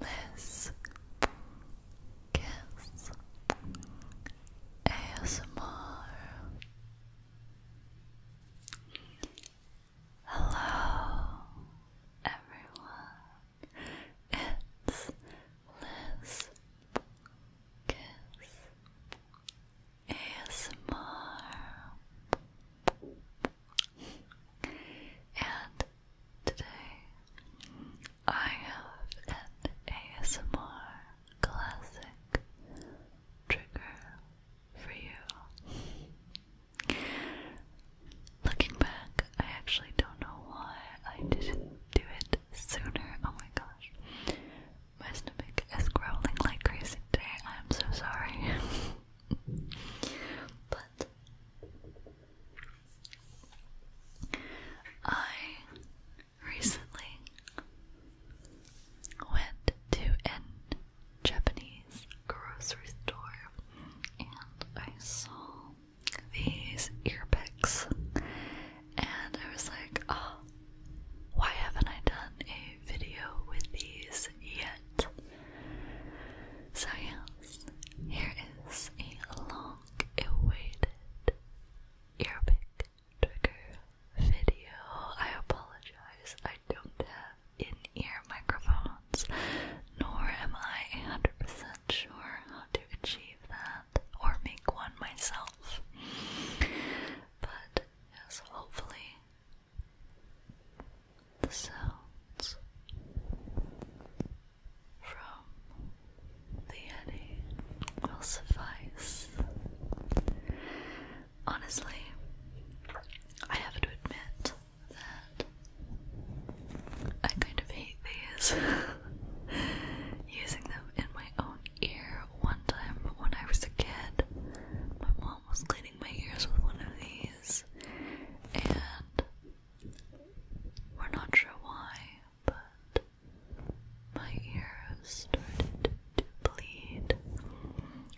Liz Kiss ASMR Hello everyone, it's Liz Kiss ASMR and Today I have an ASMR classic trigger for you. Looking back, I actually don't know why I didn't do it sooner. Oh my gosh. My stomach is growling like crazy today. I'm so sorry. but I recently went to an Japanese grocery store and I saw these ear picks and I was like, oh, why haven't I done a video with these yet? So yeah, because here is a long awaited earpick trigger video. I apologize, I don't have in ear microphones, nor am I 100% sure how to achieve that or make one myself. But yes, hopefully, the sounds from the Yeti will suffice. Honestly, I have to admit that I kind of hate these. Using them in my own ear one time when I was a kid, my mom was cleaning my ears with one of these, and we're not sure why, but my ears started to bleed,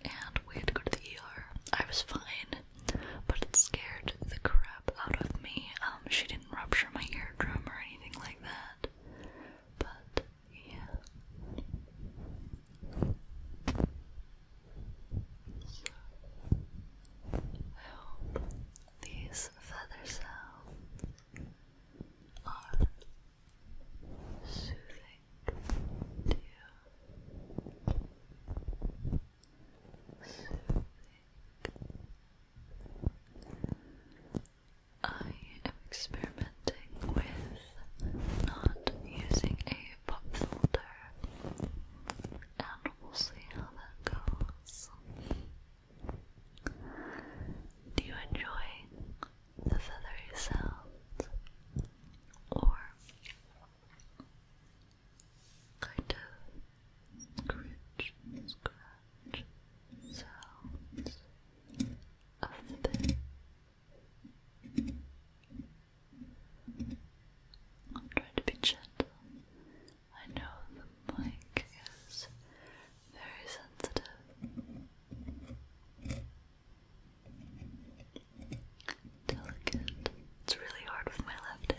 and we had to go to the ER. I was fine, but it scared the crap out of me. Um, she didn't rupture my eardrum or anything like that, but yeah. I these feather sounds are soothing Soothing. I am experimenting with not using a pop filter um, we'll see how that goes. Do you enjoy the feathery sounds? Or kind of scratch, scratch sounds of the day? I'm trying to be gentle I know the mic is very sensitive. Delicate. It's really hard with my left hand.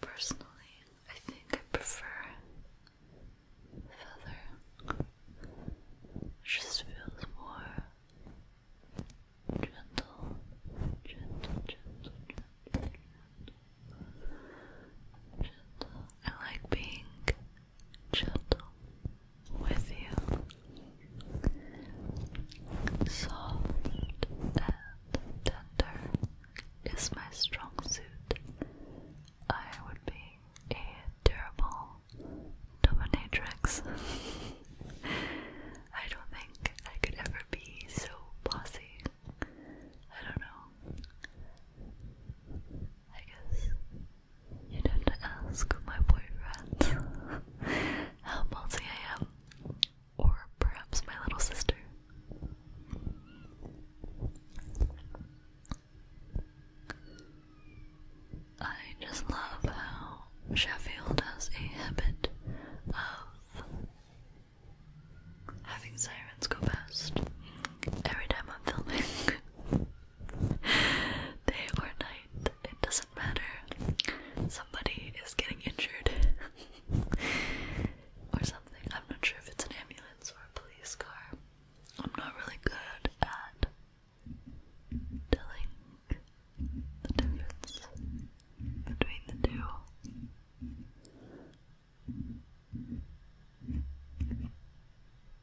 Personally, I think I prefer feather. It just feels more gentle, gentle, gentle, gentle, gentle. gentle. I like being gentle with you. Soft and tender is my strong suit. I would be a terrible dominatrix. I don't think I could ever be so bossy. I don't know. I guess you don't ask my boyfriend how multi I am, or perhaps my little sister. I just love how Sheffield has a habit of having sirens go past every time I'm filming. day or night, it doesn't matter. Somebody is getting injured or something. I'm not sure if it's an ambulance or a police car. I'm not really good at telling the difference between the two.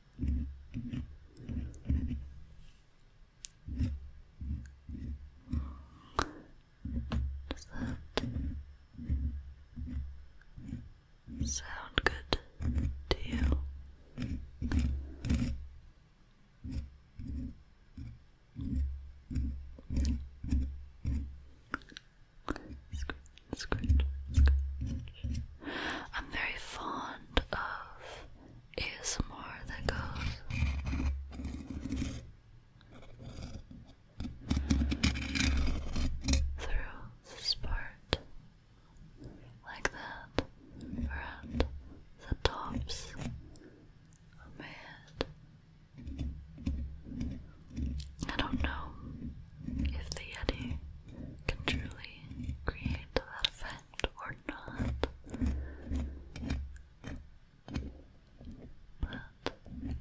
Does that sound good to you? Scratch, scratch, scratch. I'm very fond of is more than goes through this part like that around the tops of my I don't know if the Yeti can truly create that effect or not. But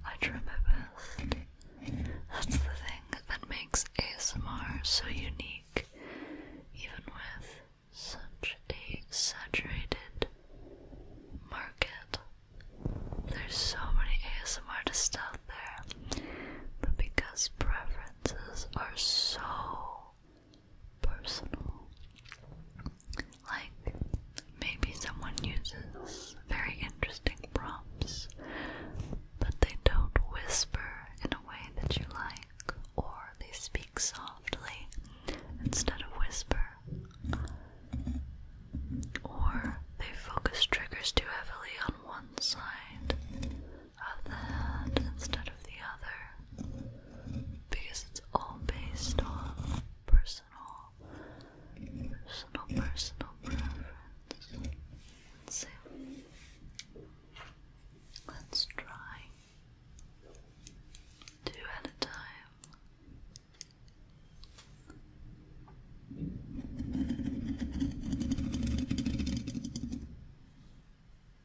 I try my best. That's the thing that makes ASMR so unique, even with such a saturated market. There's so many ASMR artists out there, but because preferences are so personal. Like maybe someone uses very interesting prompts, but they don't whisper in a way that you like, or they speak softly instead of whisper, or they focus triggers too heavily on one side of the hand instead of the other because it's all based on personal, personal, personal preference. Let's see. Let's try two at a time.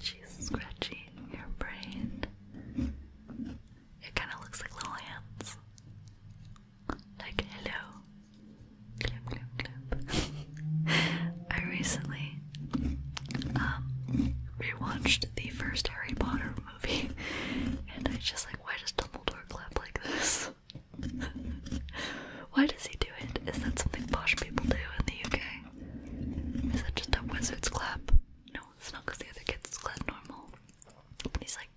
Just scratchy, your brain. It kind of looks like little hands. Like hello. I recently um rewatched the first Harry Potter and I just like, why does Dumbledore clap like this? why does he do it? Is that something posh people do in the UK? Is that just a wizard's clap? No, it's not because the other kids clap normal. But he's like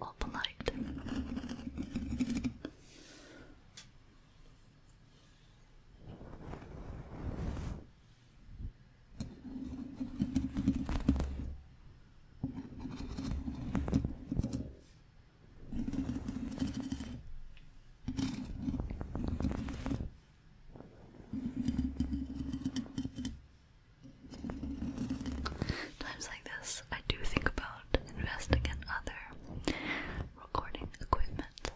all polite. Times like this, I do think about investing in other recording equipment.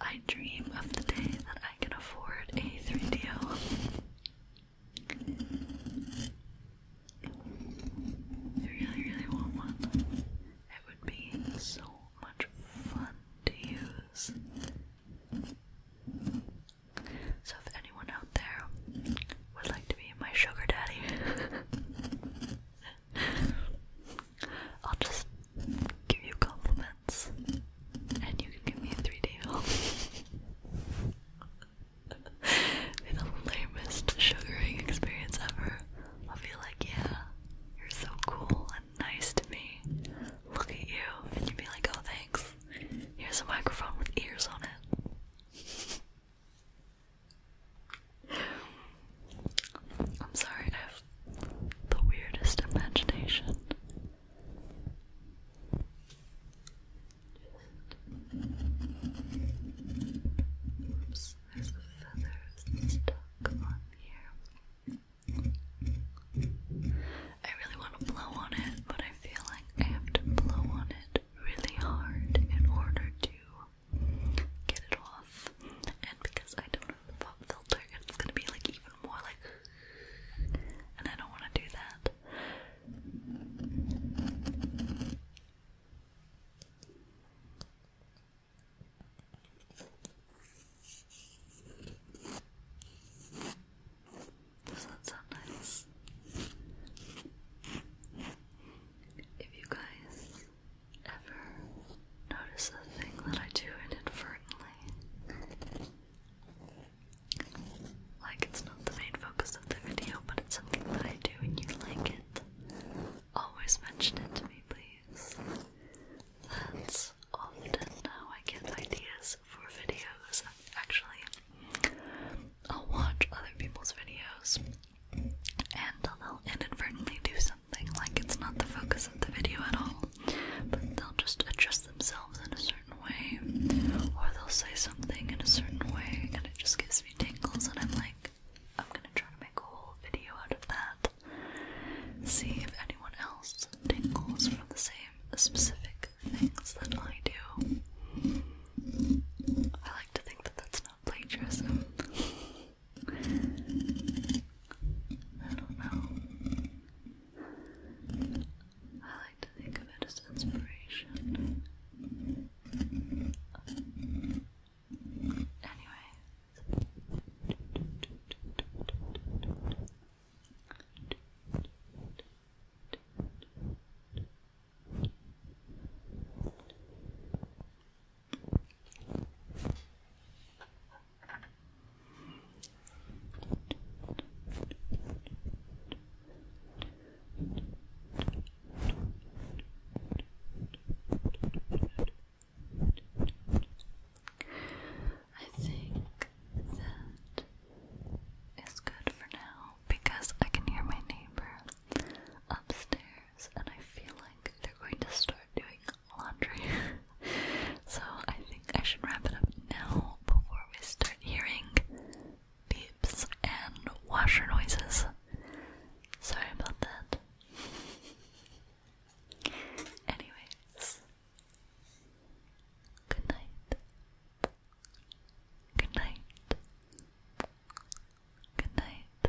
I dream of the day that I can afford a 3DO. I really, really want one. It would be so much fun to use. So, if anyone out there would like to be my sugar daddy, I'll just give you compliments, and you give me a three day home the lamest sugaring experience ever. I'll be like, yeah, you're so cool and nice to me. Look at you, and you'd be like, oh, thanks. Here's a microphone with ears on it. I'm sorry, I have the weirdest imagination. Oops, there's a feather stuck on here. I really want to blow on it, but I feel like I have to blow on it really hard in order to get it off. And because I don't have a pop filter, it's gonna be like even more like, and I don't want to do that. Does that sound nice? If you guys ever notice the thing that I do inadvertently, like it's not the main focus of the video, but it's something that I do and you like it. Always mention it to me, please. That's often how I get ideas for videos. Actually, I'll watch other people's videos and they'll inadvertently do something like it's not the focus of the video at all but they'll just address themselves in a certain way, or they'll say something in a certain way, and it just gives me tingles, and I'm like, I'm gonna try to make a whole video out of that. See if anyone else tingles from the same specific things that I do. I like to think that that's not plagiarism. I don't know. I like to think of it as inspiration. Anyway, I think that is good for now because I can hear my neighbor upstairs and I feel like they're going to start doing laundry. so I think I should wrap it up now before we start hearing beeps and washer noises. Sorry about that. Anyways, good night. Good night. Good night.